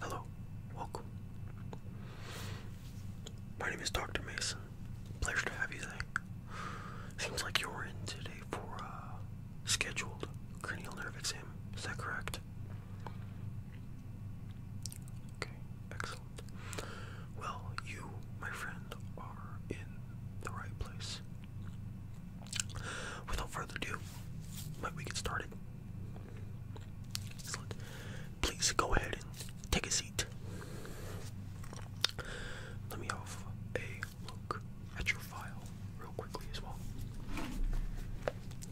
Hello, welcome. My name is Dr. Mason. Pleasure to have you today. Seems like you're in today for a scheduled cranial nerve exam. Is that correct? Okay, excellent. Well, you, my friend, are in the right place. Without further ado, might we get started? Excellent. Please go ahead and take a seat. Let me have a look at your file real quickly as well.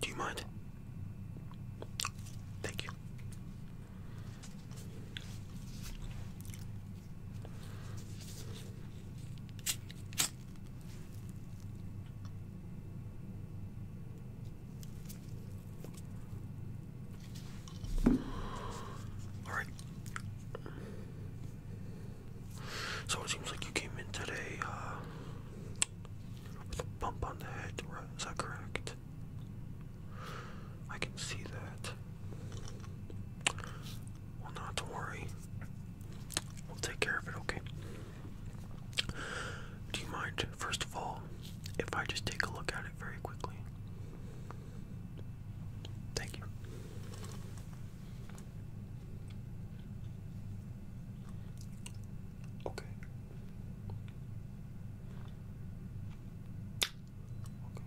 Do you mind? Thank you. All right. So it seems like you came in today uh, bump on the head, Is that correct? I can see that. Well, not to worry. We'll take care of it, okay? Do you mind, first of all, if I just take a look at it very quickly? Thank you. Okay. Okay.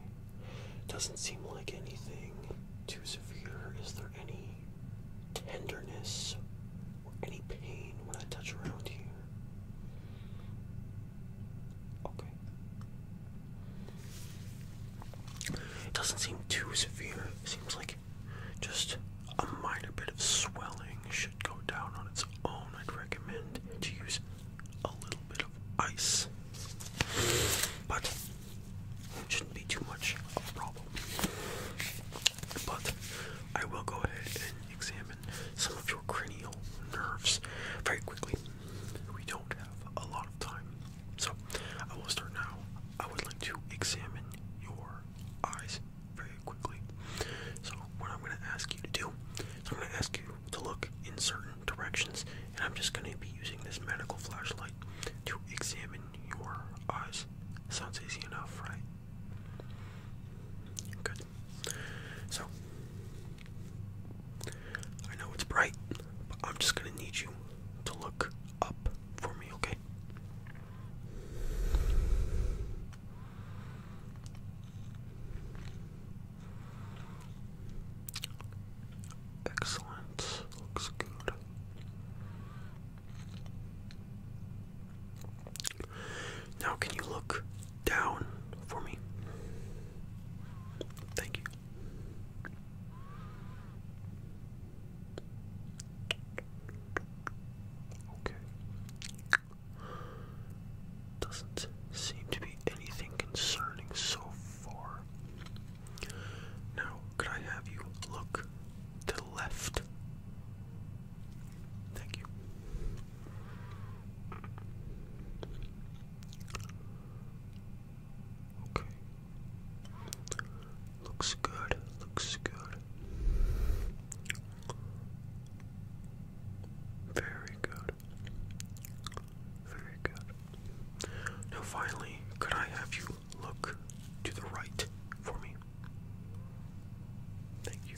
Doesn't seem like anything too severe. Is there any tenderness or any pain when I touch around here? Okay. It doesn't seem too severe. It seems like just a minor bit of swelling should go down on its own. I'd recommend to use a little bit of ice, but it shouldn't be too much of a problem. But I will go ahead and examine some of your cranial nerves very quickly. We don't have a lot of time, so I will start now. I would like to examine your eyes very quickly. So what I'm going to ask you to do is I'm going to ask you to look in certain directions, and I'm just going to be using this medical flashlight to examine your eyes. Sounds easy enough, right? Good. So I know it's bright, but I'm just going to need you to look up for me, okay? Excellent. Looks good. Now, can you look down for me? Thank you. Okay. Doesn't seem to be anything concerning so far. Now, could I have you look to the left? Thank you. Okay. Looks good, looks good. Very good. Very good. Now, finally, could I have you look to the right for me? Thank you.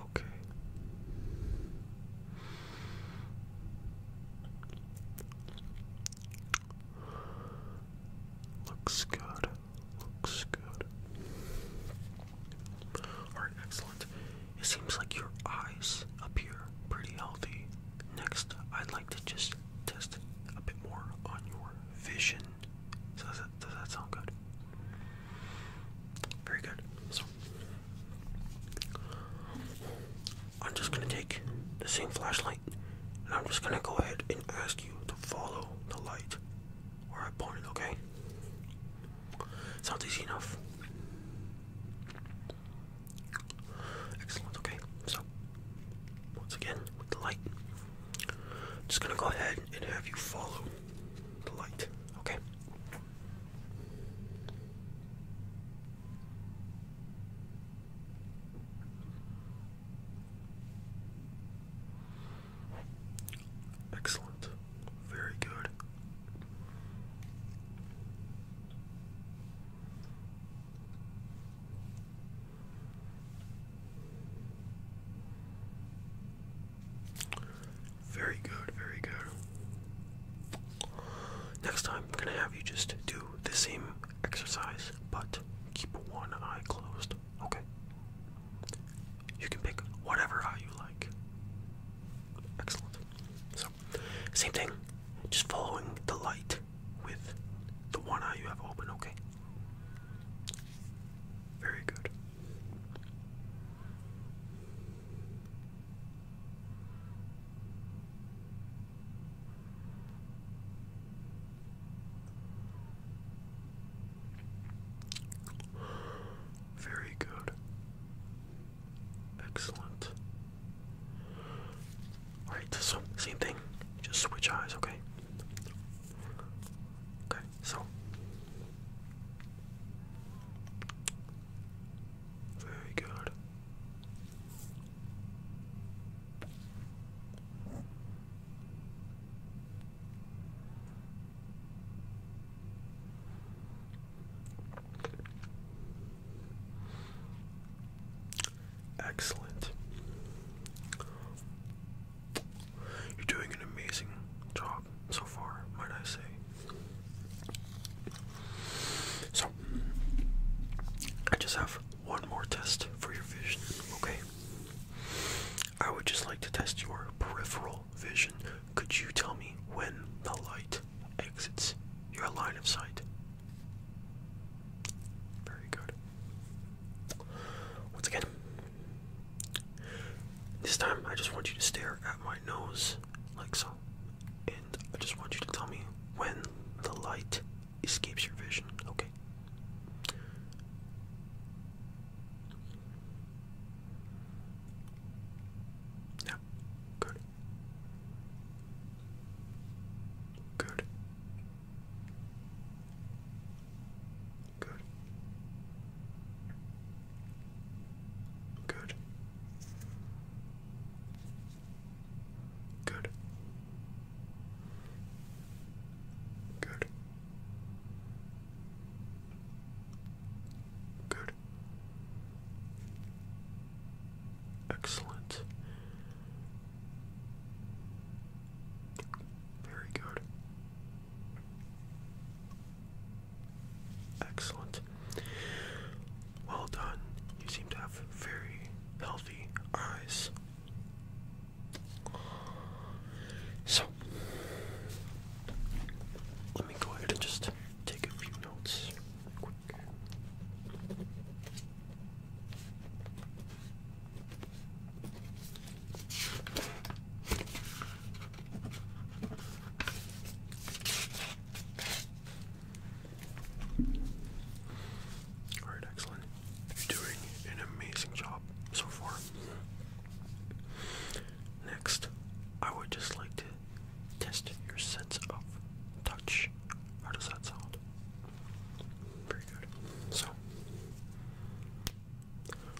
Okay. Looks good. Looks good. Alright, excellent. It seems like your eyes appear pretty healthy. Next, I'd like to just test a bit more on your vision. does that, does that sound good? Very good. So, I'm just gonna take the same flashlight and I'm just gonna go ahead and ask you to follow the light where I point Okay, okay? not easy enough. Excellent, okay. So once again with the light. I'm just gonna go ahead and have you follow the light, okay? Excellent. Very good. Very good, very good. Next time, I'm gonna have you just do the same exercise, but keep one eye closed, okay? You can pick whatever eye you like. Excellent. So, same thing, just following the light with the one eye you have open, okay? Very good. Very good. Excellent. Alright, so same thing. Just switch eyes, okay? Okay, so very good. Excellent. You're doing an amazing job so far, might I say. So, I just have one more test for your vision, okay? I would just like to test your peripheral vision. Could you tell me when the light exits your line of sight? Very good. Once again, this time I just want you to stare at my nose like so. I just want you to tell me when the light escapes your vision, okay? Yeah, good. Good. Good. Good. Good. Good. Good. Excellent. Very good. Excellent. Well done. You seem to have very healthy eyes. So, let me go ahead and just take a few notes quick. Alright, excellent. You're doing an amazing job so far. Next, I would just like to test your sense of touch. How does that sound? Very good. So,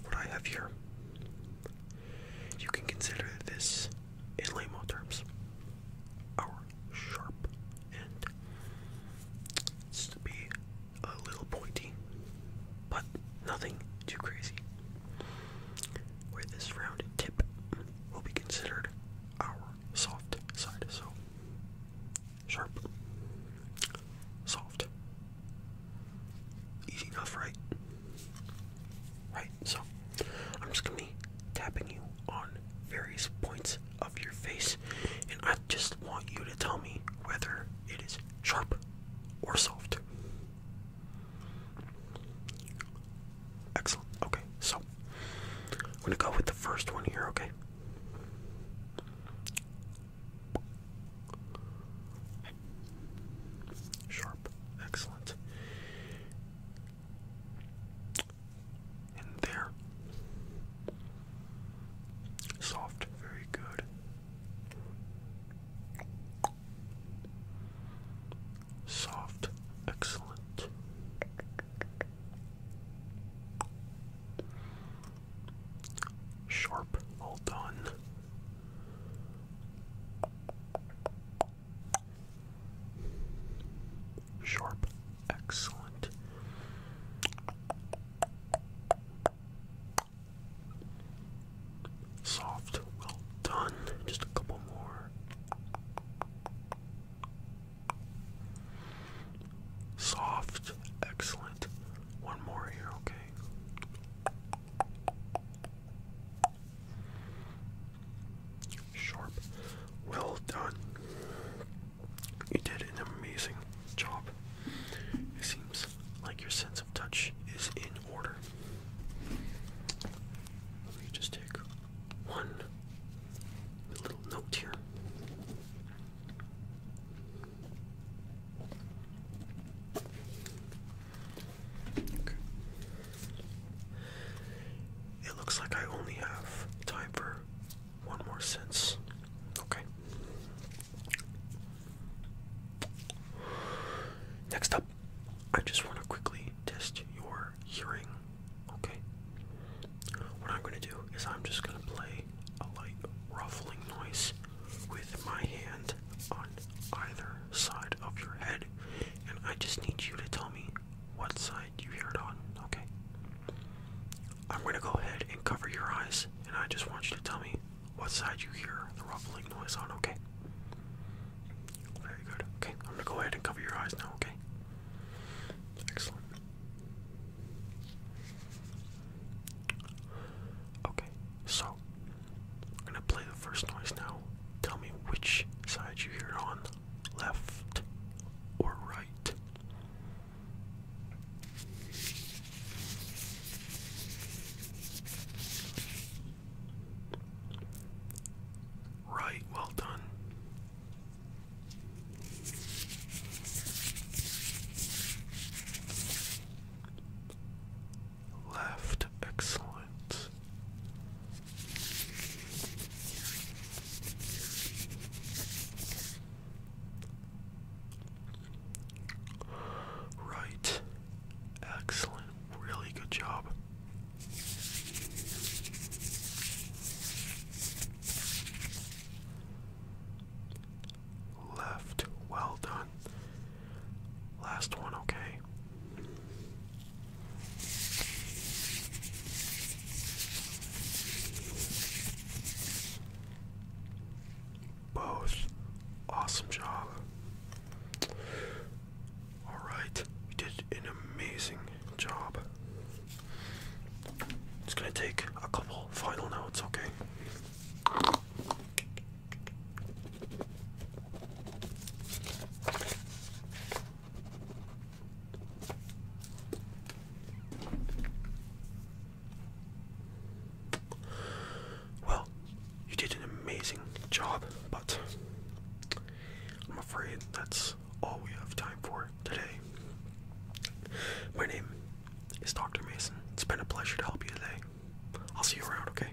what I have here, you can consider this in layman terms, our sharp end it's to be a little pointy, but nothing too crazy. Where this rounded tip will be considered our soft side. So sharp, soft, easy enough, right? right? So I'm just gonna be tapping you on various points of your face, and I just want you to tell me whether it is sharp or soft. Excellent. Okay, so I'm gonna go with the first one here, okay? Sharp. Excellent in there. Soft, very good. Soft, excellent. Sharp, all done. Sharp. Excellent. Soft. Well done. Just a couple more. Soft. Excellent. One more here, okay? Sharp. Well done. You did an amazing job. It seems like your sense of touch is in order. Let me just take one little note here. It looks like I only have time for one more sense. Okay. Next up, I just want to quickly test your hearing. Okay. What I'm going to do is I'm just going to play a light ruffling noise with my hand on either side of your head and I just need you to tell me what side you hear it on, okay? I'm gonna go ahead and cover your eyes, and I just want you to tell me what side you hear the ruffling noise on, okay? Very good. Okay, I'm gonna go ahead and cover your eyes now, okay? Excellent. Okay, so play the first noise now. Tell me which side you hear it on, left or right. Right, well done. Left, excellent. Right. Excellent. Really good job. Left. Well done. Last one, okay. Both. Awesome job. Alright, you did an amazing job. It's gonna take a couple final notes, okay? Well, you did an amazing job, but I'm afraid that's all we have time for today. My name is Dr. Mason. It's been a pleasure to help you today. I'll see you around, okay?